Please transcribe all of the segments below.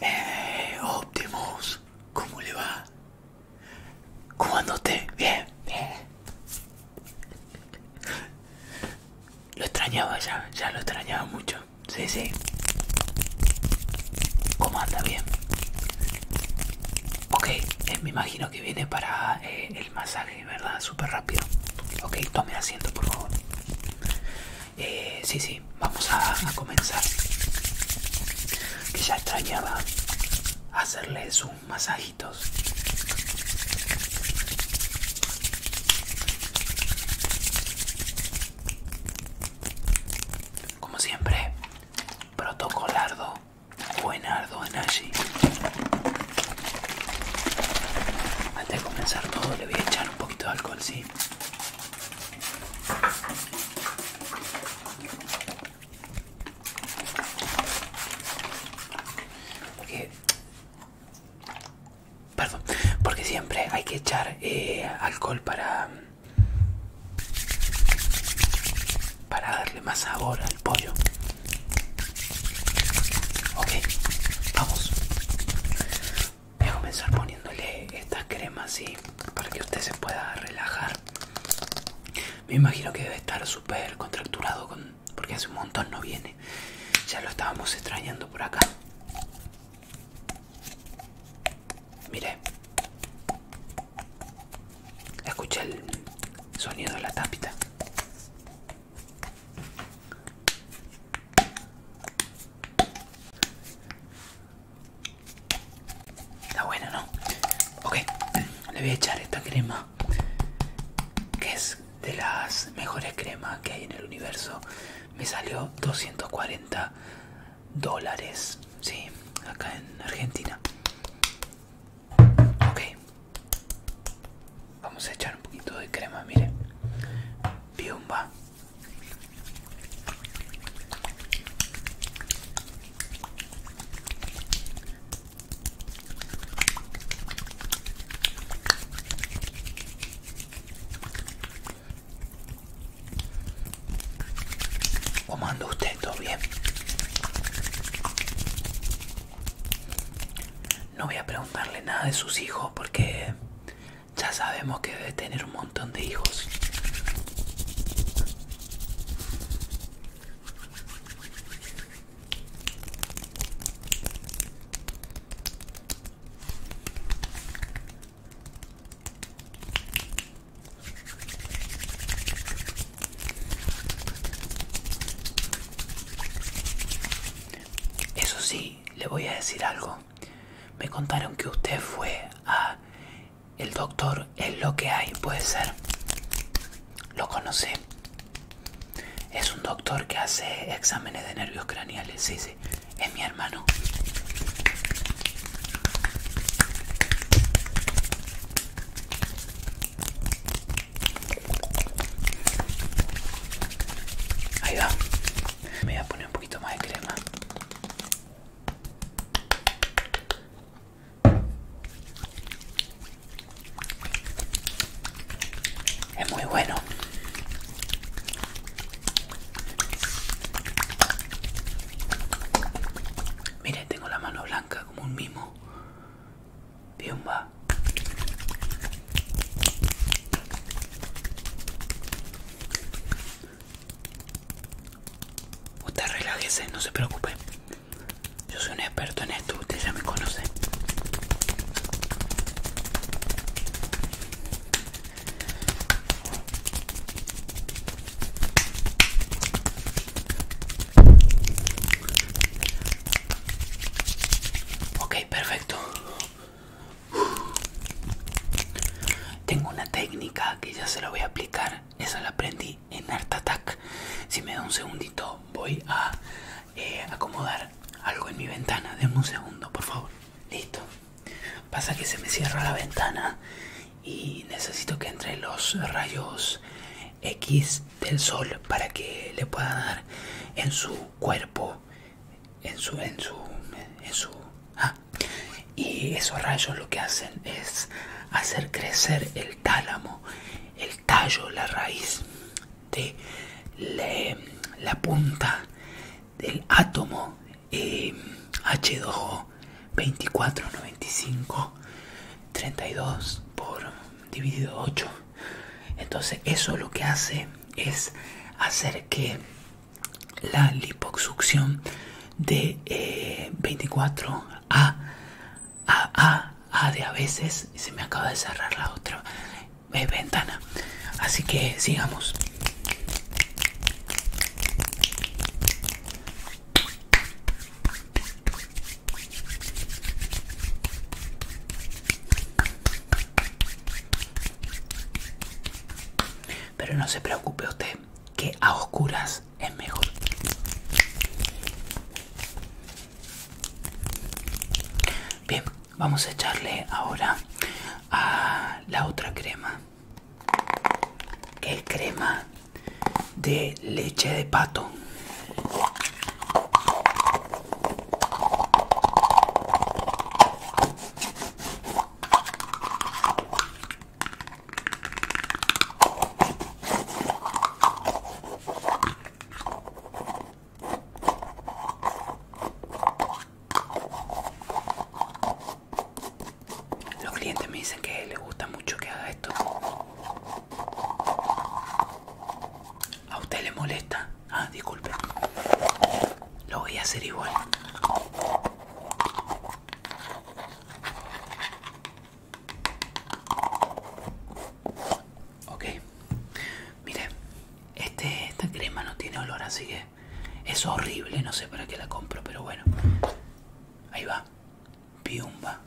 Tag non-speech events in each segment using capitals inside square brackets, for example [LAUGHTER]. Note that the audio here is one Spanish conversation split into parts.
Eh, Optimus, ¿cómo le va? ¿Cómo anda usted? Bien, bien. Lo extrañaba ya, ya lo extrañaba mucho. Sí, sí. ¿Cómo anda? Bien. Ok, eh, me imagino que viene para eh, el masaje verdad súper rápido ok tome asiento por favor eh, sí sí vamos a, comenzar que ya extrañaba hacerles sus masajitos como siempre protocolardo buenardo en allí antes de comenzar todo le voy a echar un poquito de alcohol, ¿sí? Porque... Perdón, porque siempre hay que echar eh, alcohol para... Para darle más sabor al pollo. Ok, vamos. Voy a comenzar poniéndole estas cremas y para que usted se pueda relajar. Me imagino que debe estar súper contracturado con, porque hace un montón no viene. Ya lo estábamos extrañando por acá. Mire, Escucha el sonido de la tapita. Está bueno, ¿no? Ok, le voy a echar esta crema que es de las mejores cremas que hay en el universo. Me salió 240 dólares, sí, acá en Argentina. Ok, Vamos a echar un poquito de crema, mire. Piumba. O anda usted? ¿Todo bien? No voy a preguntarle nada de sus hijos porque ya sabemos que debe tener un montón de hijos. Eso sí, le voy a decir algo. Me contaron que usted fue a el doctor es lo que hay, puede ser. Lo conocí. Es un doctor que hace exámenes de nervios craneales. Sí, sí. Es mi hermano. Ahí va. Me voy a poner un poquito más de crema. Es muy bueno. Mire, tengo la mano blanca como un mimo. Piomba. Usted relájese, no se preocupe. Yo soy un experto en esto, usted ya me conoce. Ok, perfecto. Tengo una técnica que ya se lo voy a aplicar. Esa la aprendí en Art Attack. Si me da un segundito, voy a eh, acomodar algo en mi ventana. Denme un segundo, por favor. Listo. Pasa que se me cierra la ventana y necesito que entre los rayos X del sol para que le pueda dar en su cuerpo, en su, en su, en su, ah. y esos rayos lo que hacen es hacer crecer el tálamo, el tallo, la raíz de la, punta del átomo H2O eh, 24, 95, 32 por dividido 8. Entonces eso lo que hace es hacer que la lipoxucción de 24 eh, a, a, a, de a veces se me acaba de cerrar la otra eh, ventana. Así que sigamos. Pero no se preocupe usted, que a oscuras es mejor. Bien, vamos a echarle ahora a la otra crema que crema de leche de pato los clientes me dicen que les gusta mucho que haga esto. A usted le molesta. Ah, disculpe. Lo voy a hacer igual. Ok. Mire, este, esta crema no tiene olor, así que es horrible, no sé para qué la compro, pero bueno. Ahí va. Piumba.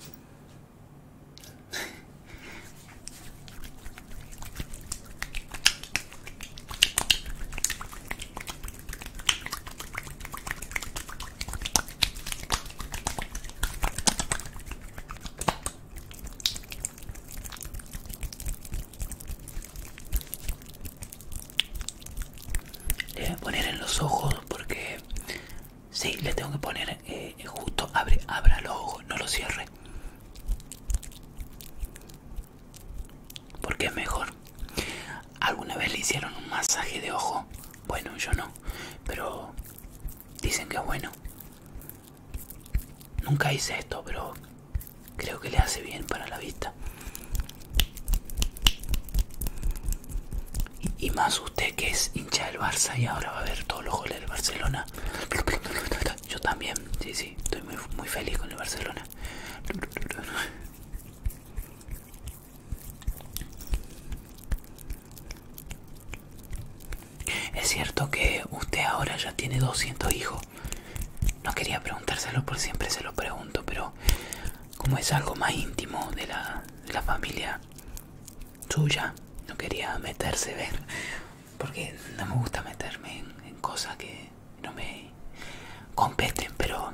Le voy poner en los ojos porque si, le tengo que poner eh, justo abre, abra los ojos, no lo cierre. Porque es mejor. ¿Alguna vez le hicieron un masaje de ojo? Bueno, yo no, pero dicen que es bueno. Nunca hice esto, pero creo que le hace bien para la vista y, más usted que es hincha del Barça y ahora va a ver todos los goles del Barcelona yo también sí sí estoy muy, muy feliz con el Barcelona es cierto que usted ahora ya tiene 200 hijos no quería preguntárselo por siempre se lo pregunto, pero como es algo más íntimo de la, familia suya, no quería meterse, ver, porque no me gusta meterme en, en cosas que no me competen, pero...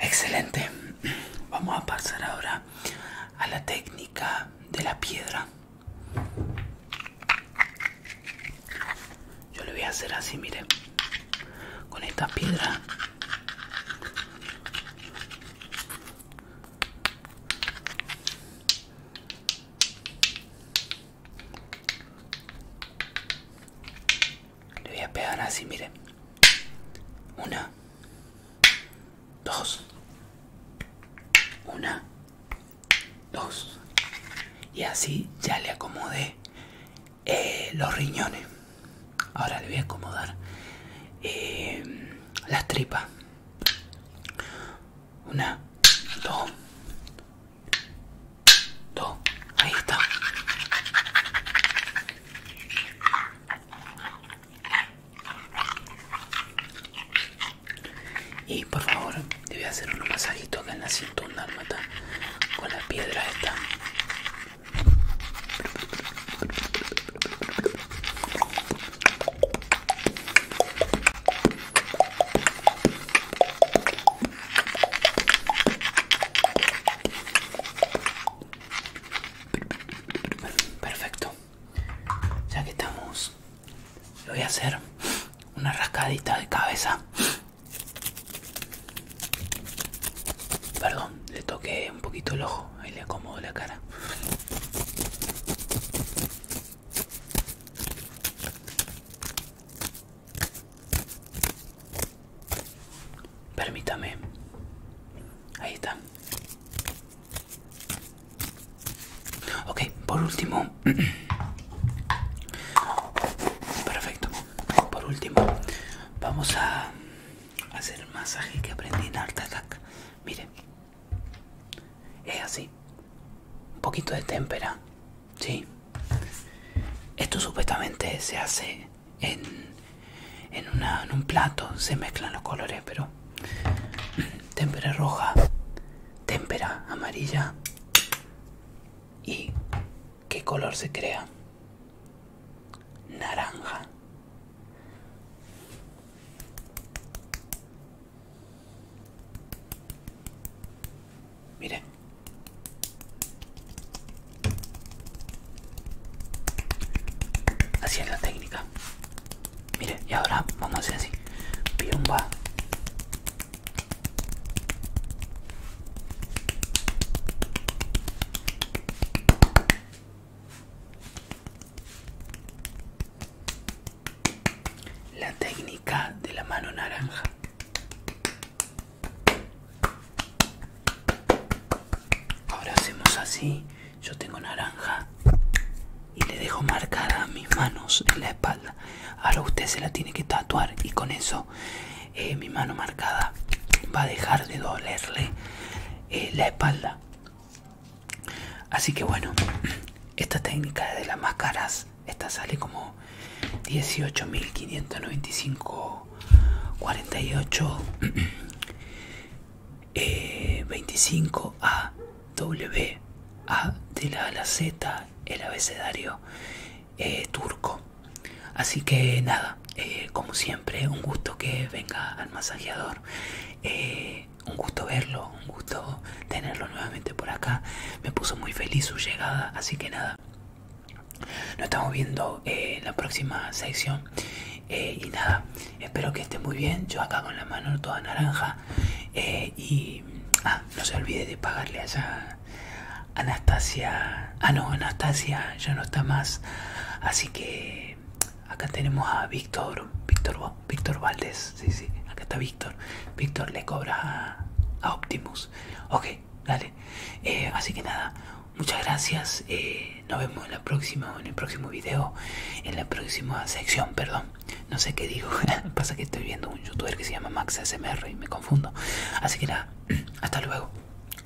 Excelente. Vamos a pasar ahora a la técnica de la piedra. Yo le voy a hacer así, mire con esta piedra. Le voy a pegar así, miren. Una. Dos. Una. Dos. Y así ya le acomodé eh, los riñones. Ahora le voy a acomodar eh, las tripas. Una, dos, dos, ahí está. Y por favor, te voy a hacer un masajito acá en la cintura, almata, con la piedra esta. Perfecto. Ya que estamos, le voy a hacer una rascadita de cabeza. Perdón, le toqué un poquito el ojo, ahí le acomodo la cara. Permítame. Ahí está. Ok, por último. [CLEARS THROAT] Perfecto. Por último, vamos a hacer el masaje que aprendí en Art Attack. Mire. Es así. Un poquito de témpera. Sí. Esto supuestamente se hace en, un plato. Se mezclan los colores, pero... [CLEARS THROAT] Témpera roja, témpera amarilla. ¿Y qué color se crea? Naranja mire Así es la técnica. mire y ahora vamos a hacer así. Piumba. La técnica de la mano naranja. Ahora hacemos así. Yo tengo naranja y le dejo marcada mis manos en la espalda. Ahora usted se la tiene que tatuar y con eso eh, mi mano marcada va a dejar de dolerle eh, la espalda. Así que bueno, esta técnica de las máscaras, esta sale como 18.595.48 48 25 A W A de la, la Z, el abecedario eh, turco. Así que nada, eh, como siempre, un gusto que venga al masajeador. Eh, un gusto verlo, un gusto tenerlo nuevamente por acá. Me puso muy feliz su llegada, así que nada. Nos estamos viendo eh, en la próxima sección. Eh, y nada, espero que esté muy bien. Yo acá con la mano toda naranja. Eh, y ah, no se olvide de pagarle allá Anastasia. Ah, no, Anastasia ya no está más. Así que acá tenemos a Víctor, Víctor, Víctor Valdés, sí, sí, acá está Víctor, Víctor le cobra a, Optimus, ok, dale, eh, así que nada, muchas gracias, eh, nos vemos en la próxima, en el próximo video, en la próxima sección, perdón, no sé qué digo, [LAUGHS] pasa que estoy viendo un youtuber que se llama Max SMR y me confundo, así que nada, [CLEARS THROAT] hasta luego,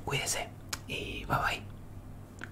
cuídese y bye bye.